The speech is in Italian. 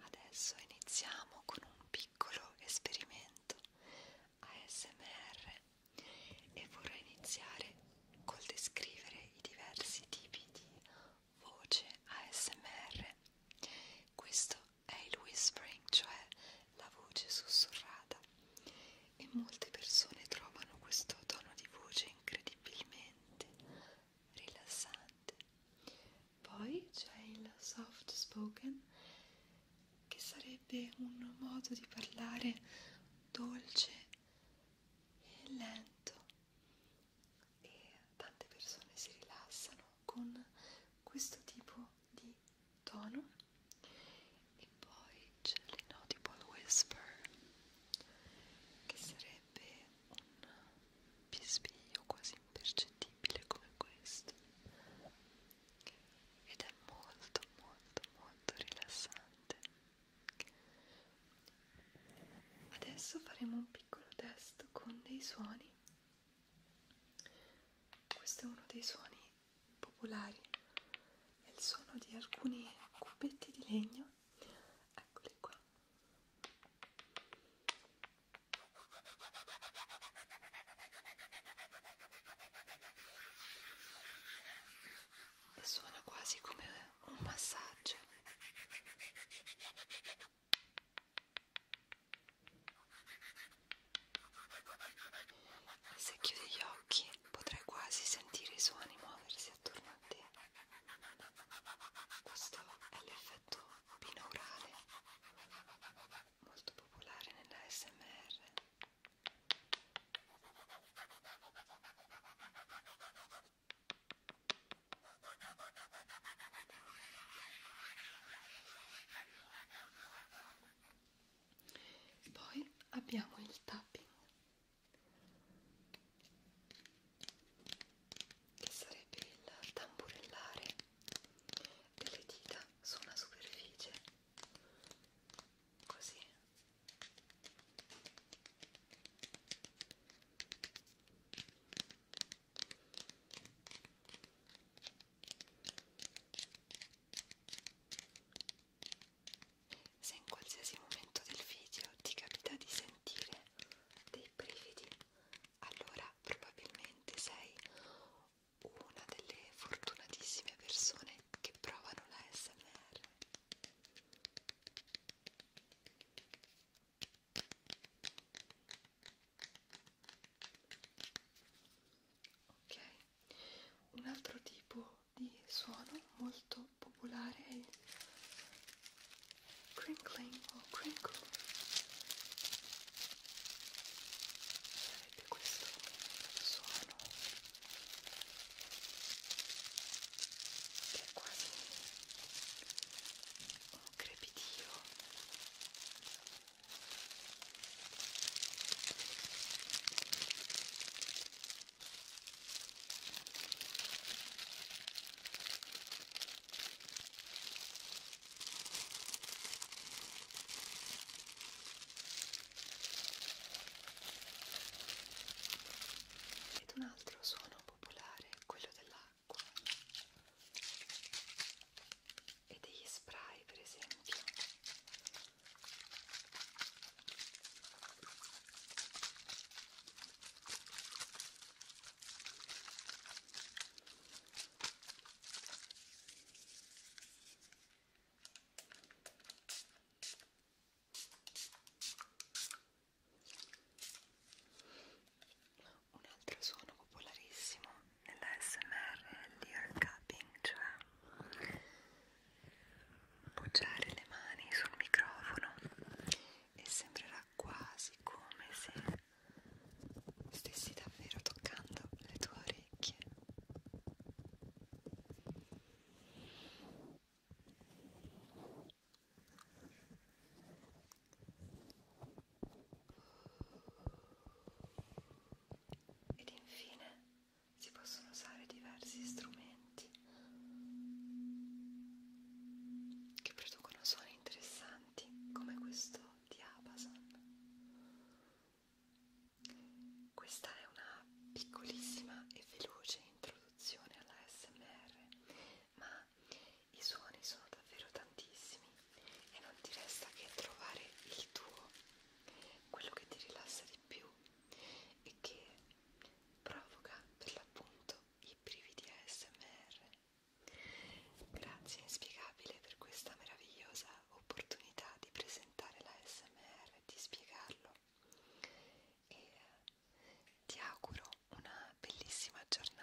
Adesso iniziamo con un piccolo esperimento ASMR e vorrei iniziare col descrivere i diversi tipi di voce ASMR. Questo è il whispering, cioè la voce sussurrata e molte persone trovano questo tono di voce incredibilmente rilassante poi c'è il soft spoken, che sarebbe un modo di parlare dolce e lento, e tante persone si rilassano con questo tipo di tono. E poi c'è l'inaudible whisper, che sarebbe un bisbiglio quasi impercettibile come questo ed è molto molto molto rilassante adesso faremo un piccolo test con dei suoni questo è uno dei suoni popolari è il suono di alcuni cubetti di legno eccoli qua e suona quasi come un massaggio e se chiudi gli occhi potrai quasi sentire i suoni muoversi attorno a te questo è l'effetto binaurale, molto popolare nella SMR. Poi abbiamo il tapping che sarebbe il tamburellare delle dita su una superficie così se in qualsiasi momento del video ti capita di sentire dei brividi, allora probabilmente sei una delle fortunatissime persone che provano la SMR. Ok, un altro tipo di suono molto popolare è il crinkling o crinkle sarebbe questo suono che è quasi un crepitio ed un altro suono popolare è quello dell'acqua e degli spray per esempio un altro suono popolarissimo nella SMR è l'ear cupping, cioè Appoggiare le mani sul microfono e sembrerà quasi come se stessi davvero toccando le tue orecchie. Ed infine si possono usare diversi strumenti che producono suoni interessanti come questo di Abasan. Questa è una piccolissima e veloce introduzione alla SMR, ma i suoni sono davvero tantissimi e non ti resta che trovare il tuo, quello che ti rilassa di più e che provoca per l'appunto i brividi ASMR. Grazie inspiegabile per questa meravigliosa opportunità di presentare la SMR e di spiegarlo e eh, ti auguro una bellissima giornata.